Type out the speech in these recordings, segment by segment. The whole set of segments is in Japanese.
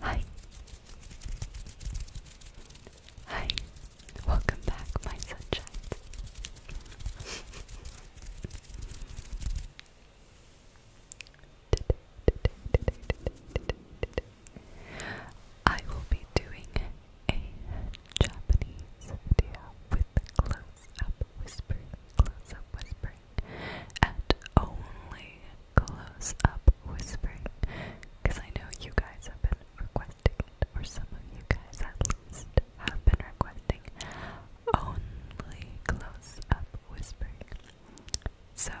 Hi. Hi. Welcome back, my sunshine. I will be doing a Japanese video with close up whisper. Close up whisper whispering, only close up whispering, because I know you guys have been requesting or some of you guys at least have been requesting only close up whispering. So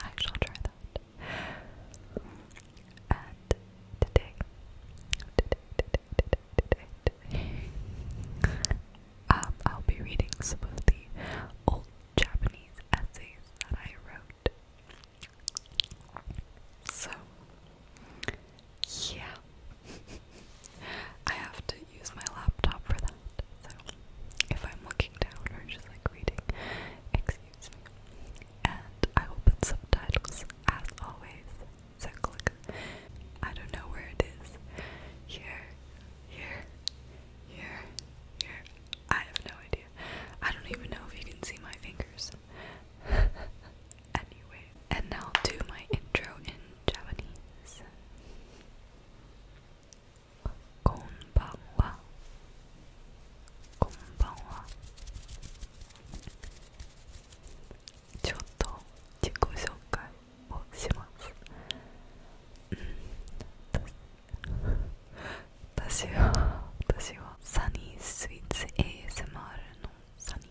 I shall try that. And today, um, I'll be reading some of the old Japanese essays that I wrote. So, yeah, I have to use my laptop for that. So, if I'm looking down or just like reading, excuse me. And I will subtitles as always. So, click. I don't know where it is. Here, here, here, here. I have no idea. I don't even know if you can see my fingers. anyway, and now I'll do my intro in Japanese. Konbanwa. Konbanwa. Chotto jiko をします、うん、私は私はサニースイーツ ASMR のサニ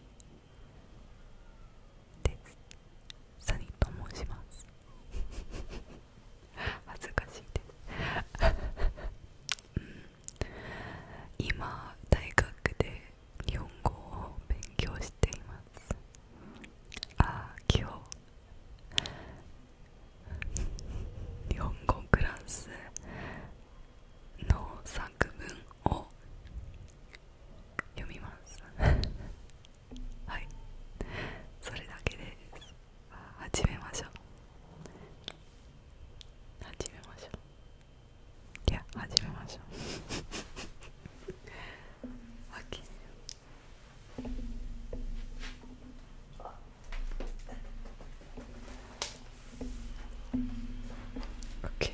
ーですサニーと申します 恥ずかしいです、うん、今大学で日本語を勉強していますああ今日日本語フランスの作文を読みます はいそれだけです始めましょう始めましょういや始めましょう OK OK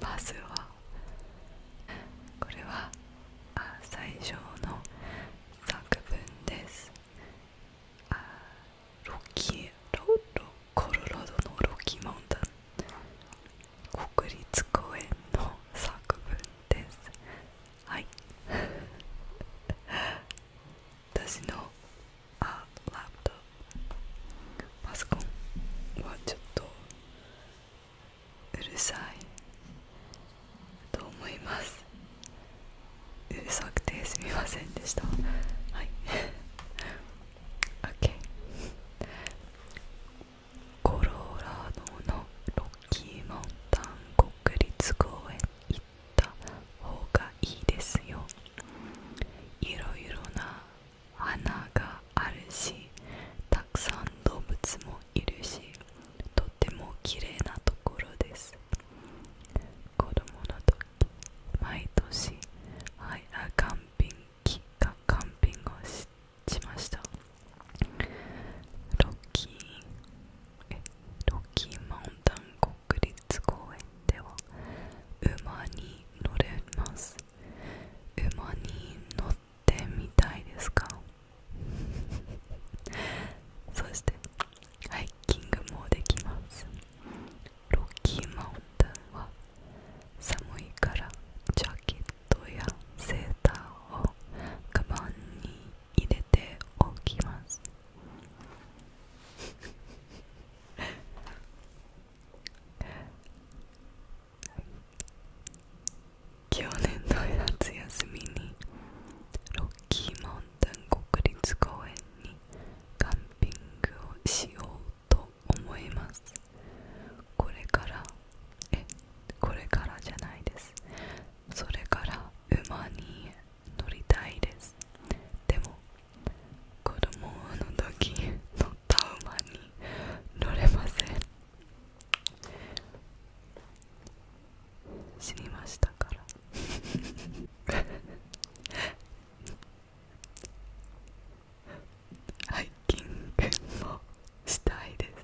まずはこれはあ最初の作文ですあロキロロコロラドのロキモウンタン国立公園の作文ですはい私のあラプパソコンはちょっとうるさいと思いますうるさくてすみませんでしたはい OK コロラドのロッキーモンタン国立公園行った方がいいですよいろいろな花があるしたくさん動物もいるしとても綺麗なところです子供の時毎年アイあカンピング期間カンピングをしてしましたロッキーロッキーマウンタン国立公園では馬に乗れます馬に乗ってみたいですか そしてハイキングもできますロッキーマウンタンは寒いからジャケットやセーターをカバンに入れておきます。去年の夏休みにロッキーマウンテン国立公園にカンピングをしようと思いますこれからえこれからじゃないですそれから馬に乗りたいですでも子供の時乗った馬に乗れません死にましたから ハイキングもしたいです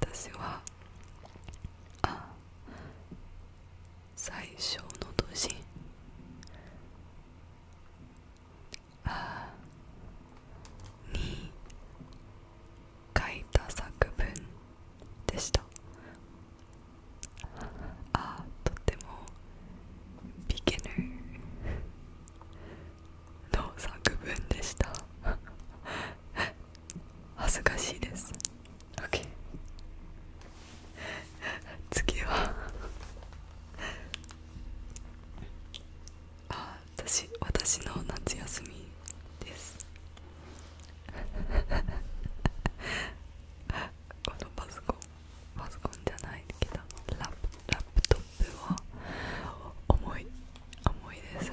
私はあ最初の年あに書いた作文でしたあとてもビギナーの作文でした恥ずかしいです OK 次はあ私私の夏休みです このパソコンパソコンじゃないけどラップラップトップは重い重いです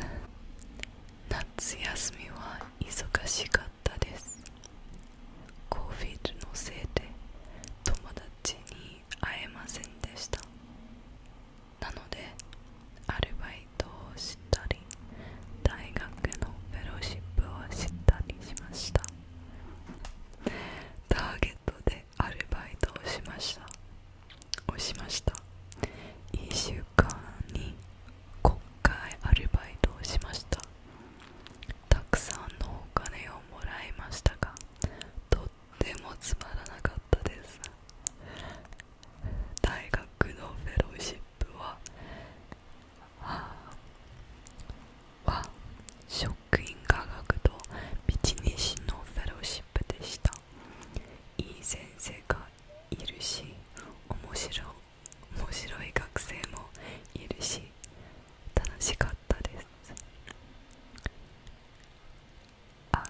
夏休みは忙しかったです c フィ i d のせいで友達に会えませんでしたなのでアルバイトをしたり大学のフェロシップをしたりしましたターゲットでアルバイトをしましたをしました週間に国会アルバイトをしましたたくさんのお金をもらいましたがとってもつまらなかったです大学のフェローシップははは職員科学とビジネスのフェローシップでしたいい先生がいるし面白い。面白い学生もいるし楽しかったですあ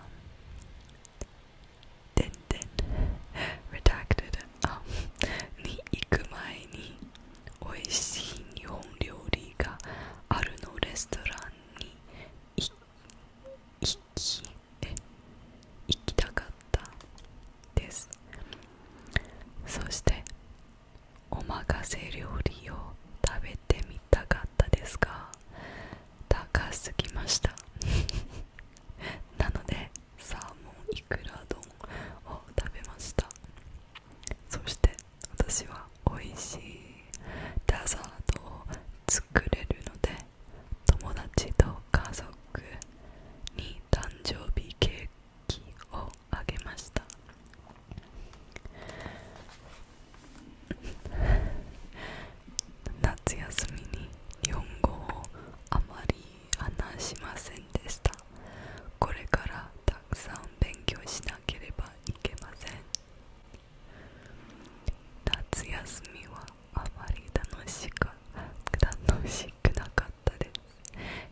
でんでん redacted に行く前に美味しい日本料理があるのレストランに行行きたかったですそしておまかせ料理を食べてみたかったですが高すぎましたなのでサーモンいくら丼を食べましたそして私は美味しいデザートを作れるので友達と家族に誕生日ケーキをあげました夏休みに日本語をあまり話しませんでしたこれからたくさん勉強しなければいけません夏休みはあまり楽しく。楽しく。くなかったです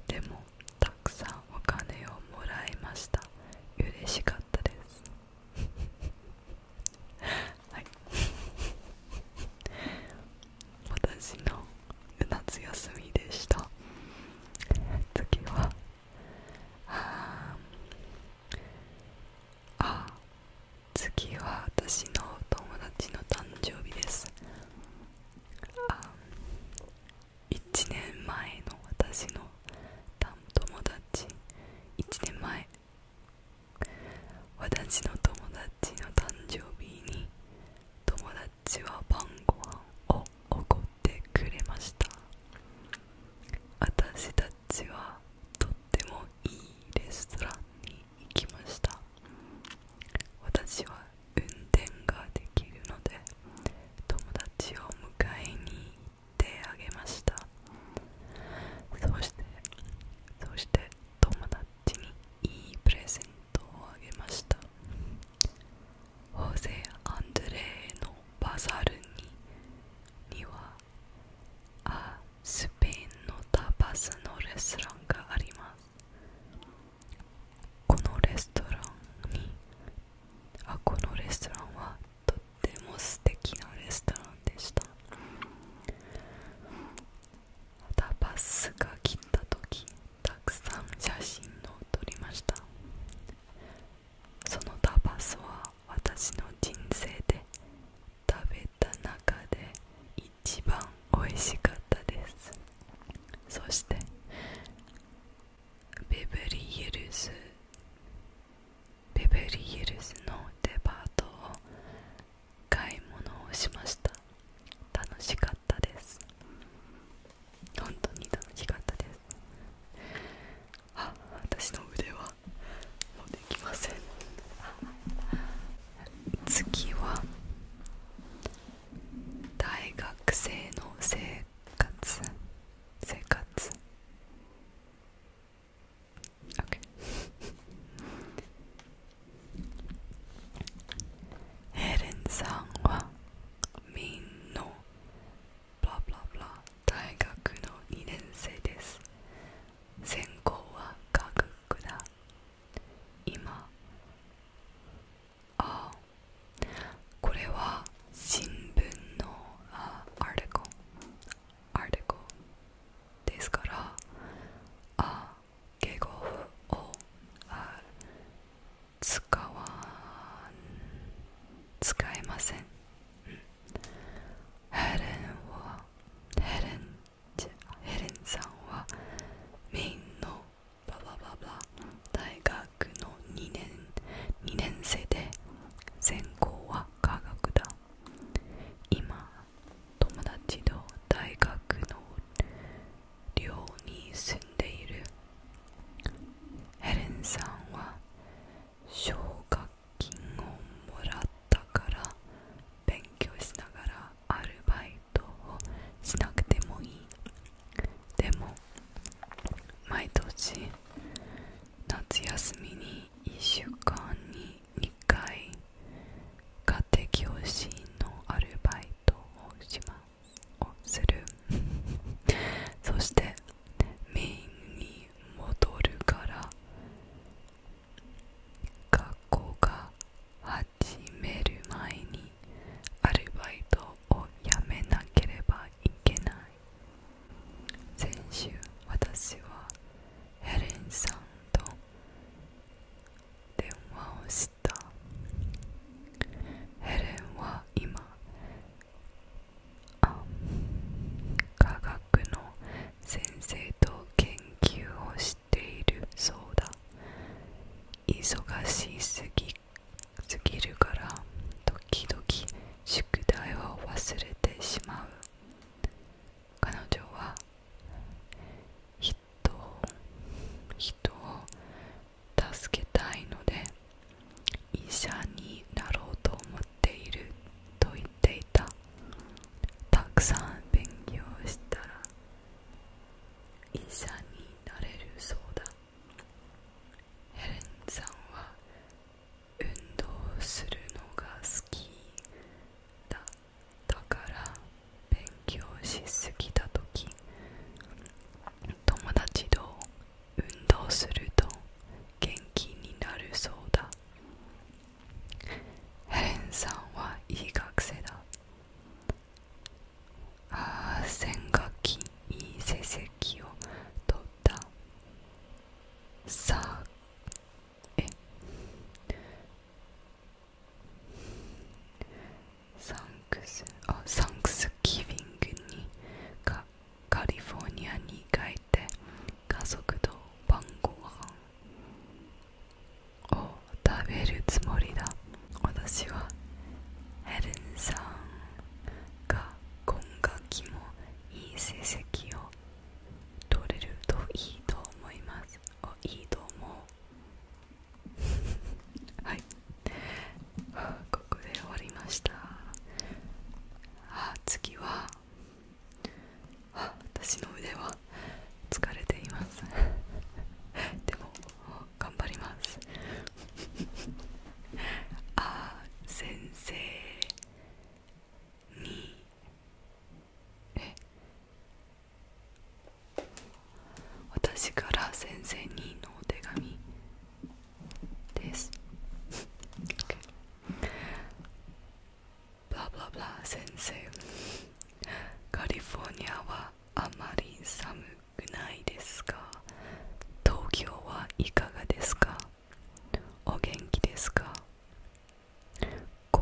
でもたくさんお金をもらいました嬉しかったです はい私の夏休みでした次はああ次は私の友達の誕生日ですあ1年前の私の友達1年前私の友達の誕生日に友達は晩ご飯をおってくれました私たちはとってもいいレストランに行ました私は運転ができるので友達を迎えに行ってあげましたそしてそして友達にいいプレゼントをあげましたホゼ・アンドレーのバザールににはスペインのタパスのレストランがありますこのレストランにあこのレストランはとっても素敵なレストランでしたまたバスが来た時たくさん写真を撮りましたそのタパスは私の人生で食べた中で一番美味しかったですそしてベブリエルズベブリエルズのデパートを買い物をしました楽しかったです本当に楽しかったですあ私の腕はもうできません次は大学生の生活生活 OK ヘレンさんはみんなブ大学の2年生です専攻は科学だ今あこれは新聞のあアルコアルコですからあ敬語をあ使わ使えません、うん、ヘレンはヘレンヘレンさんはメインのババババ大学の 2, 年2年生で専攻は科学だ今友達と大学の寮に住んでいるヘレンさんは奨学金をもらったから勉強しながらアルバイトをしなくてもいいでも毎年夏休みに1週間に2回家庭教師のアルバイトをしますをする そしてメインに戻るから学校が始始める前にアルバイトを辞めなければいけない先週私はヘレンさんと電話をしたヘレンは今科学の先生と研究をしているそうだ忙しすぎすぎるから時々宿題を忘れてしまう彼女は人人を助けたいので医者になろうと思っていると言っていたたくさん勉強したら医者になれるそうだヘレンさんは運動するのが好きだだから勉強しすぎた時友達と運動すると元気になるそうだヘレンさんはいい学生だ先学期いい成績を取ったサーエ。サンクスあサンクスギビングにカカリフォルニアに帰って家族と晩ご飯を食べるつもりだ私はヘレンさんが今学期もいい成績を取れるといいと思いますおいいと思う はいここで終わりましたあ次は私の腕は疲れています でも頑張ります あ先生にえ私から先生にのお手紙です。ブラブラブラ先生。カリフォルニアはあまり寒くないですか東京はいかがですかお元気ですか神戸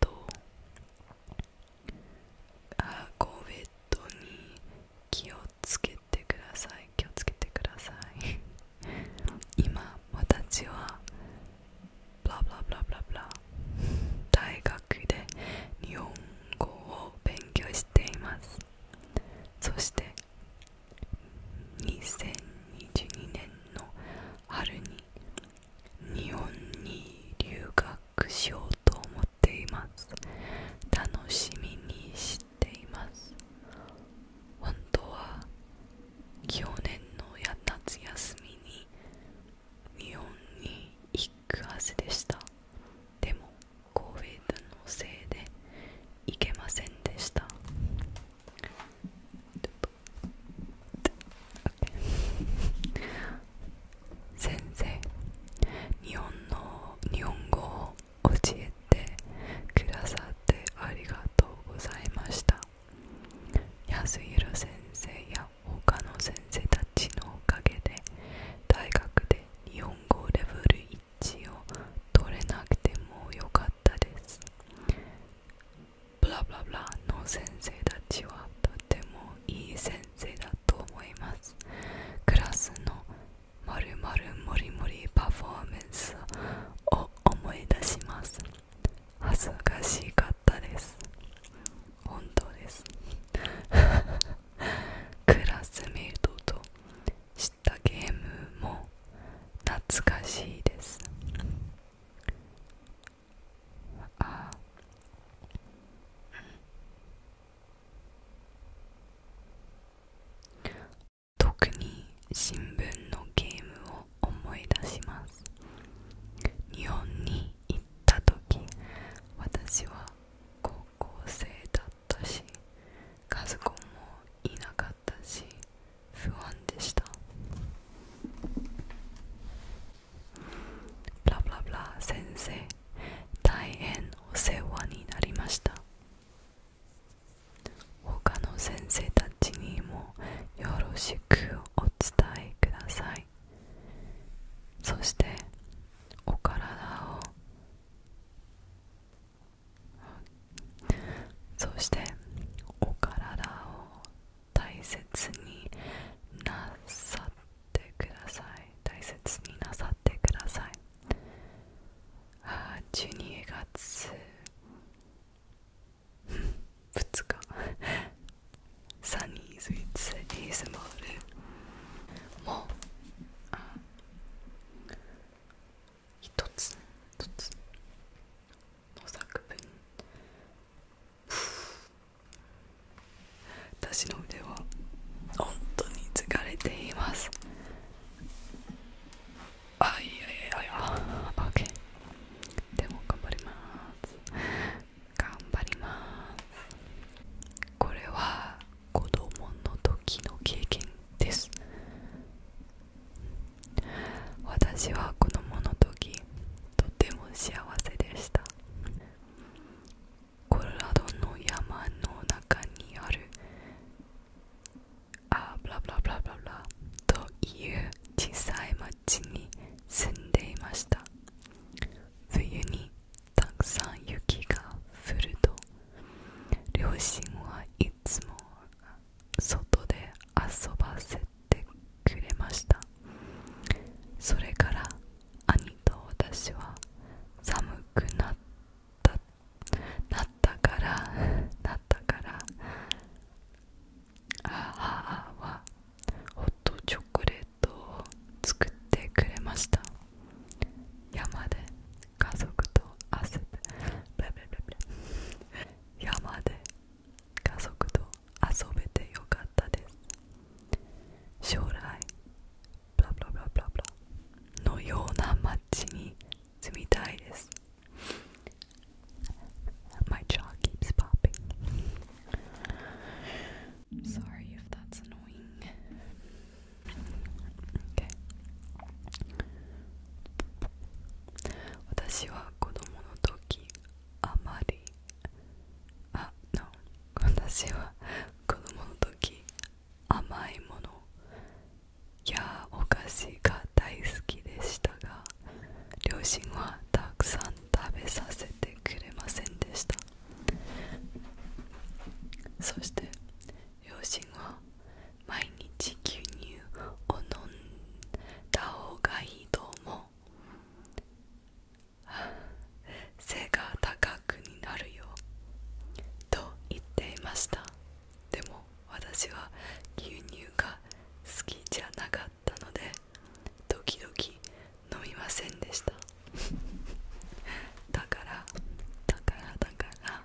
とあ神戸とに気をつけてください気をつけてください 今私はブラブラブラブラ大学で日本語を勉強していますそして2022年の春に日本に留学しようと思っています楽しみにしています本当は去年の夏休みに日本に行くはずでしたでも c o v i のせいで行けませんでした先生日本語を教えてくださってありがとうございました安弘先生や他の先生たちのおかげで大学で日本語レベル1を取れなくてもよかったですブラブラブラの先生たちはとてもいい先生だと思いますクラスのまるまるもりもりパフォーマンスを思い出します恥ずかしかったです本当です クラスメイトとしたゲームも懐かしいですあ特に新聞のゲームを思い出します日本に行った時私は高校生だったし家族もいなかったし不安でしたブラブラブラ先生大変お世話になりました他の先生たちにもよろしくお伝えくださいそしてお体をそしてお体を大切になさってください大切になさってくださいあ12月2日サニーズ・イッツ・エースマールも一つ一つの作文 私の腕は本当に疲れていますあいやいやいや OK でも頑張ります頑張りますこれは子供の時の経験です私は子供の時とても幸せでしたコロラドの山の中にあるあブラブラブラブラブラという小さい町に住んでいました冬にたくさん雪が降ると両親はいつも外で遊ばせてくれましたそれから兄と私は寒くなったなったから なったから母はホットチョコレートを作ってくれました山で家族と遊ぶ山で家族と遊べてよかったです将来のような街に住みたいです My jaw keeps popping 私は子供の時あまりあ、no 私は子供の時甘いものやお菓子が大好きでしたが両親はたくさん食べさせてくれませんでしたそして両親は毎日牛乳を飲んだ方がいいと思う背が高くなるよと言っていましたでも私は牛乳が好きじゃなかったので時々飲みませんでしただからだからだから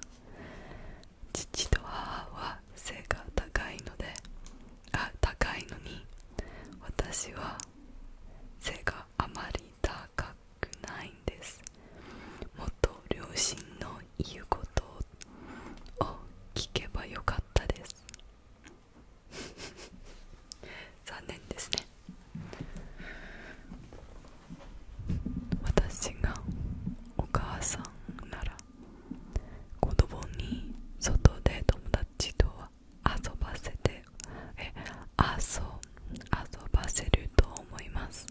父と母は背が高いのであ高いのに私は背があまり高くないんですもっと両親の言うことを聞けばよかったです 残念ですね私がお母さんなら子供に外で友達と遊ばせてえ遊遊ばせると思います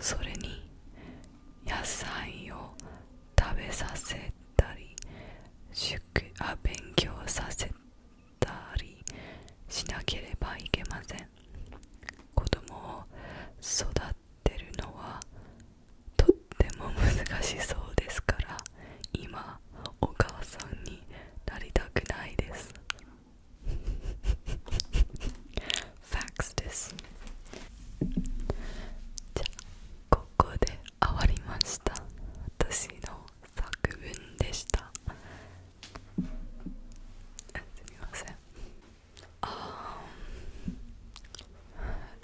それに野菜を食べさせたり宿あ勉強させたりしなければいけません子供を育てるのはとっても難しそうですから今お母さんになりたくないです Facts ですじゃあここで終わりました私の作文でしたすみませんあ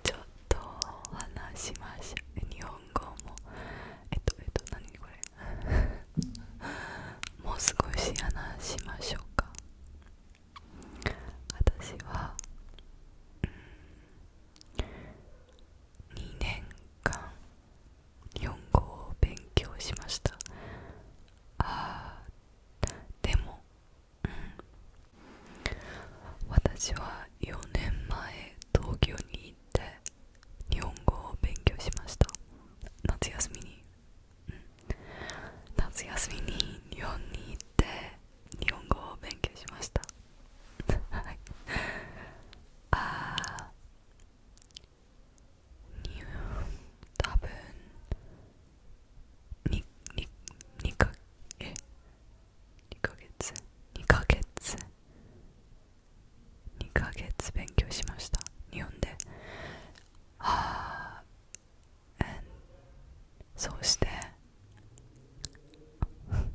ちょっと話しまし日本語もえっとえっと何これ もう少し話しましょうか私は、うん、2年間日本語を勉強しましたあーでも、うん、私は4年前東京に行って日本語を勉強しました夏休みに、うん、夏休みに日本に行って日本語を勉強しましたああ多分に2かえ2ヶ月2ヶ月2ヶ月勉強しました日本ではあそうして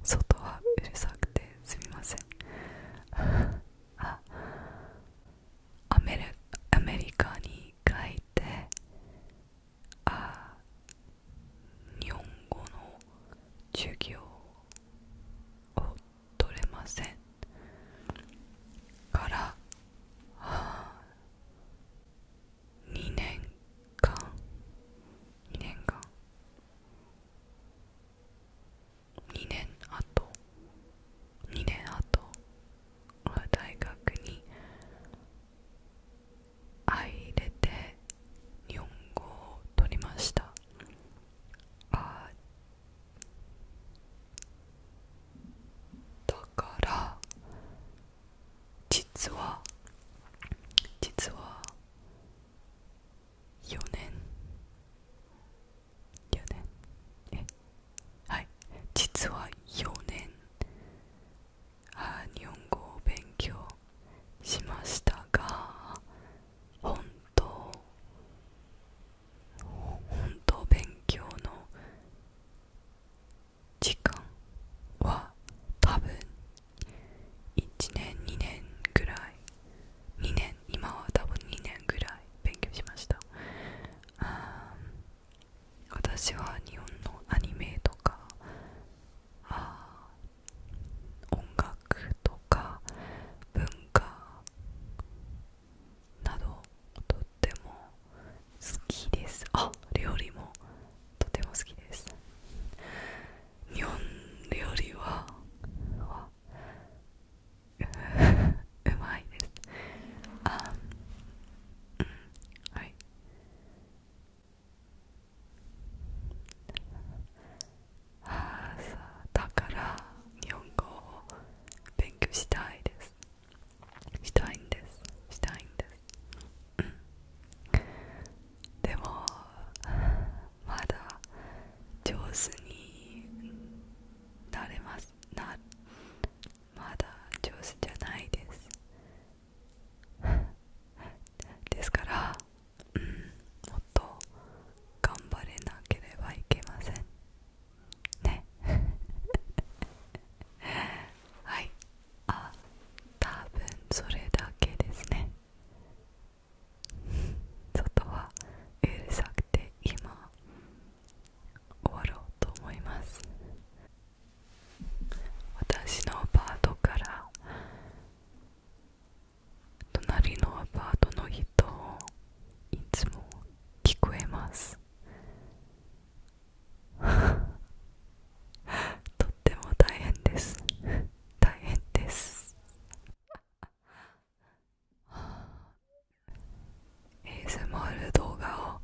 外はうるさくてすみませんあアメリアメリカに帰ってあ日本語の授業を取れませんから2年間2年間2年後2年後大学に入れて日本語を取りましたあだから実は実は4年4年はい実は4年あ日本語を勉強しましたが本当本当勉強の時間は多分1年2年ぐらい2年今は多分2年ぐらい勉強しましたあ私は日本のアニメとかあ音楽とか文化などとっても好きですあ料理もとても好きです日本料理は うまいですあうんはいあさだから日本語を勉強したいですしたいんですしたいんです、でもまだ上手になれますまだ上手じゃないです ですから、うん、もっと頑張れなければいけませんね はいあ多分それだけですね外はうるさくて今終わろうと思います私のアパートから隣のアパートの人いつも聞こえます とっても大変です大変です a s m ル動画を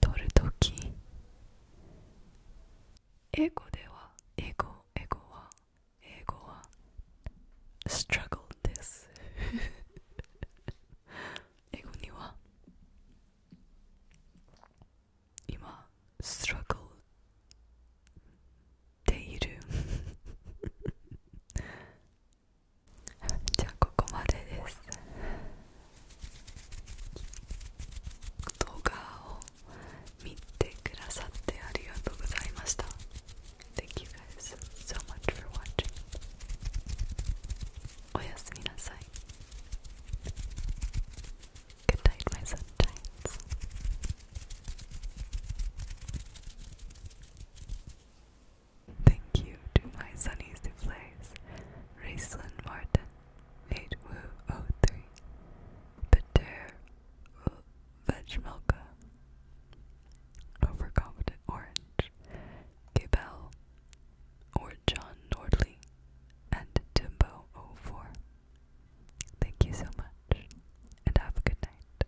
撮るときエゴではエゴ、エゴはエゴはエゴ r u g g l e です 英語には今 struggle ているじゃあここまでです動画を見てくださってありがとうございました Thank you guys so much for watching おやすみなさい Good night my sunshines Thank you to my Sunny Souffles, Raceland Martin, Nate Peter uh, Vegmilka, Overconfident Orange, Gabel, or John Nordley, and Timbo 04. Thank you so much, and have a good night.